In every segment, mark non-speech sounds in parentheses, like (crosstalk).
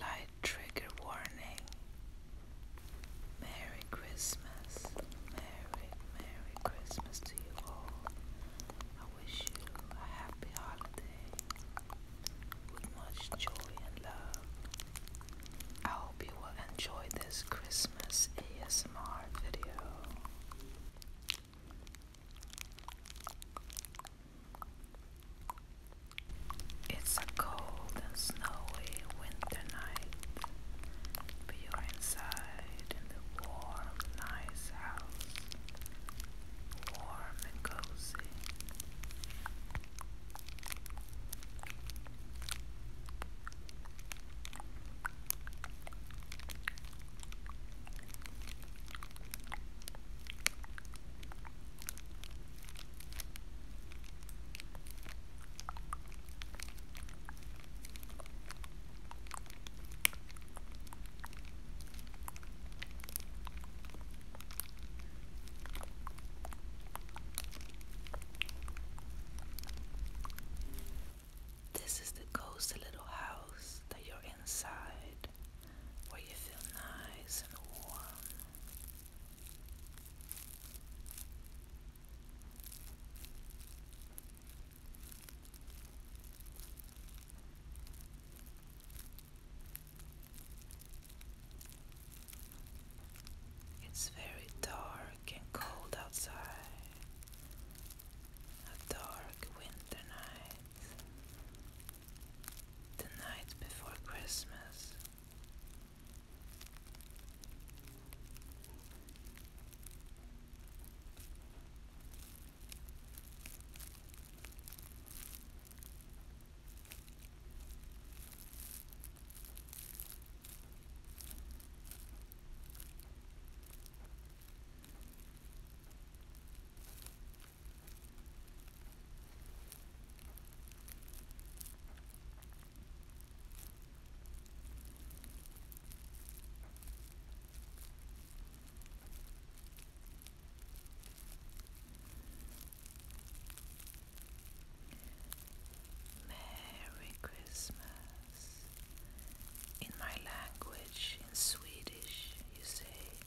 Light trigger warning. Merry Christmas. Merry, Merry Christmas to you all. I wish you a happy holiday with much joy and love. I hope you will enjoy this Christmas ASMR video. It's a cold and snowy winter night, but you're inside in the warm, nice house, warm and cozy. This is the ghostly little house that you're inside where you feel nice and warm. It's very dark and cold outside. A dark winter night. The night before Christmas. Merry Christmas. In my language, in Swedish, you say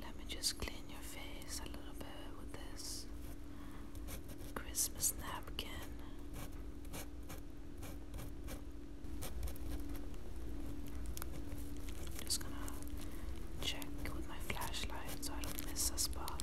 Let me just clean your face a little bit with this Christmas napkin. I'm just gonna check with my flashlight so I don't miss a spot.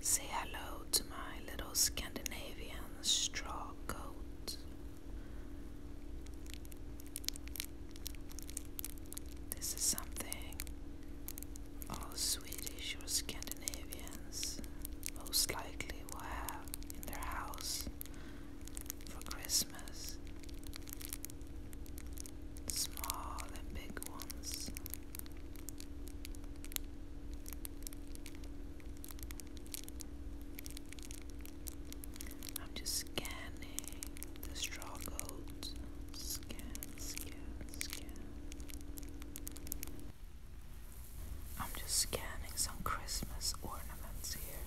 Say hello to my little Scandinavian straw coat. This is something all Swedish or Scandinavians most likely will have in their house for Christmas small and big ones. I'm just scanning the straw goat. Scan, scan, scan. I'm just scanning some Christmas ornaments here.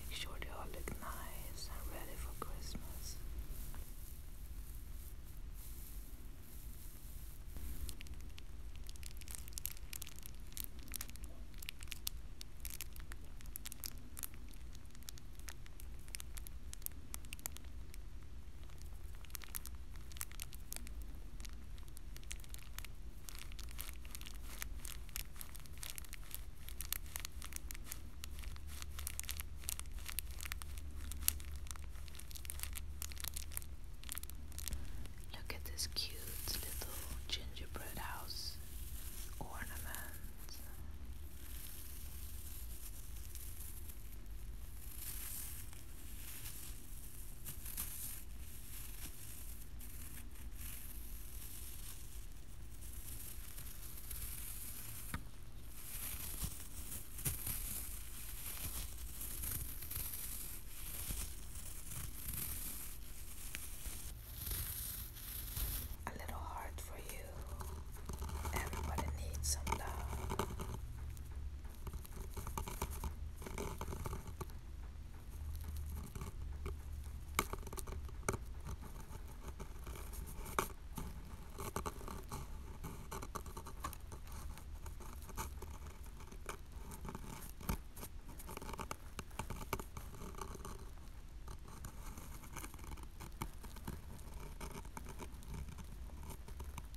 Make sure they all look nice and ready for Christmas. Look at this cute little gingerbread house ornament. A little heart for you. Everybody needs some love.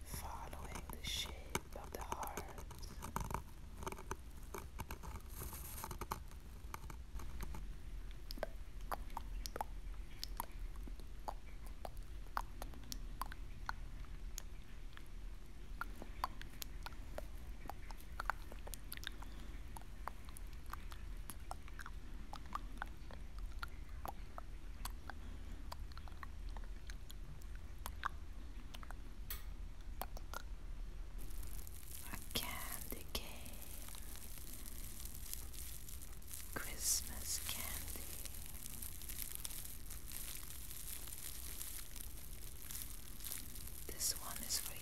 Following the shape of the heart. I can decay Christmas candy. This one is for you.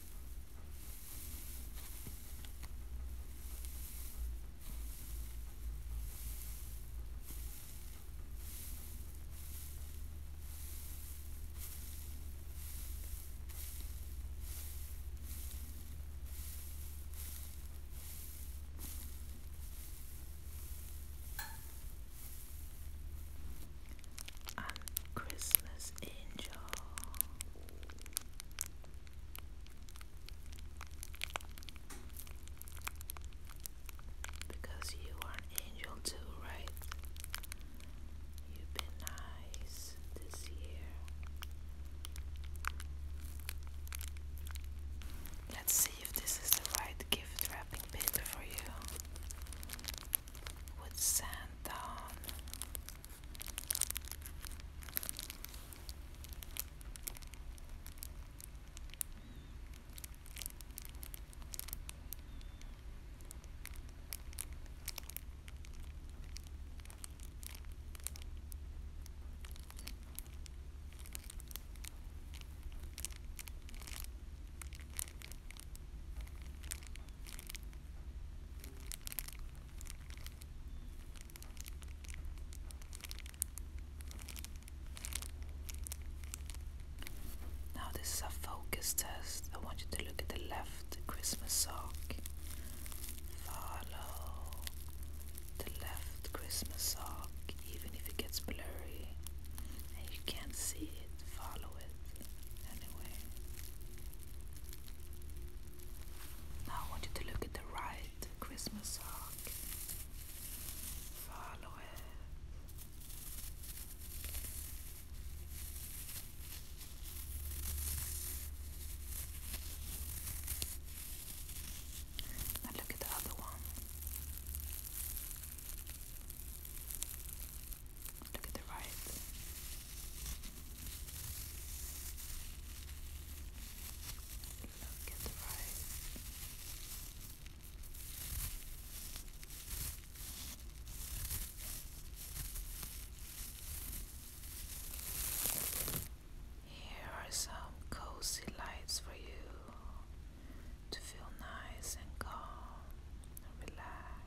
And Christmas Angel. Because you are an angel too, right? You've been nice this year. Let's see if this is the right gift wrapping paper for you with sand down. Now, this is a focus test. I want you to look at the left Christmas sock. Follow the left Christmas sock, even if it gets blurry and you can't see it. Follow it anyway. Now I want you to look at the right Christmas sock. Follow it. Now look at the other one. Look at the right. Look at the right. Here are some cozy lights for you to feel nice and calm and relaxed.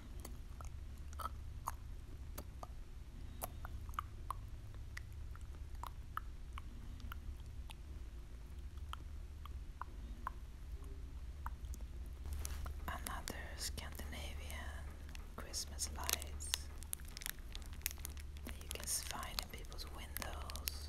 Another Scandinavian Christmas lights you can find in people's windows.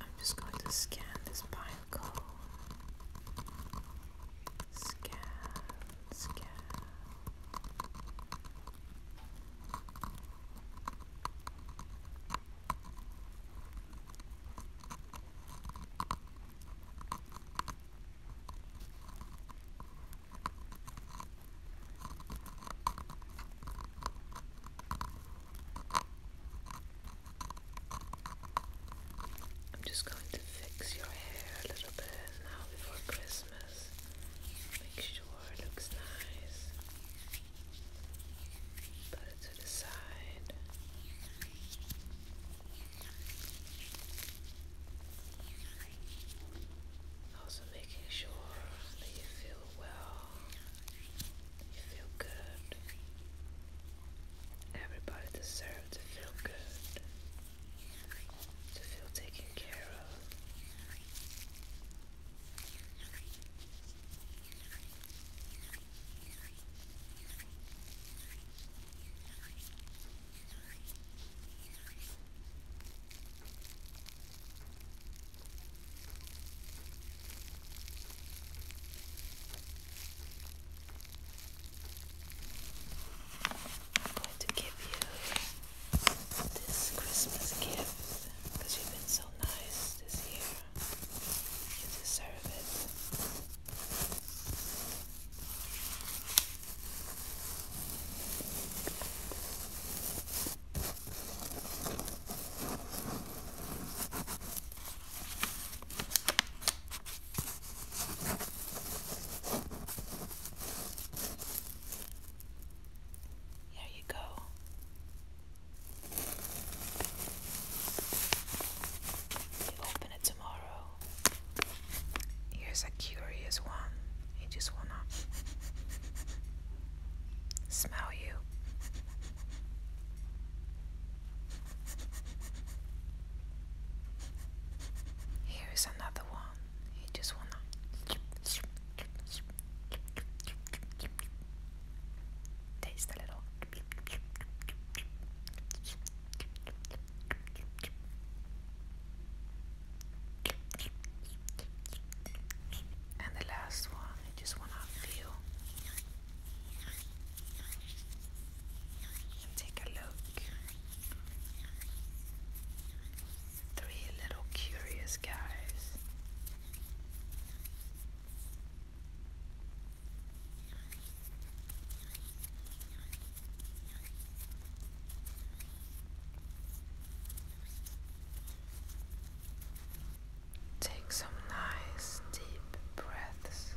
I'm just going to scan this pine cone. Scan, scan. I'm just going to fix your hair a little bit now before Christmas. Make sure it looks nice. Put it to the side. Also making sure that you feel well, you feel good. Everybody deserves to feel good, to feel taken care of. I'm going to give you this Christmas gift because you've been so nice this year. You deserve it. There you go we open it tomorrow. Here's a curious one. I just wanna (laughs) smell you. Here is another one. I just wanna Taste a little. And the last one, I just want to feel take a look. Three little curious guys Take some nice deep breaths.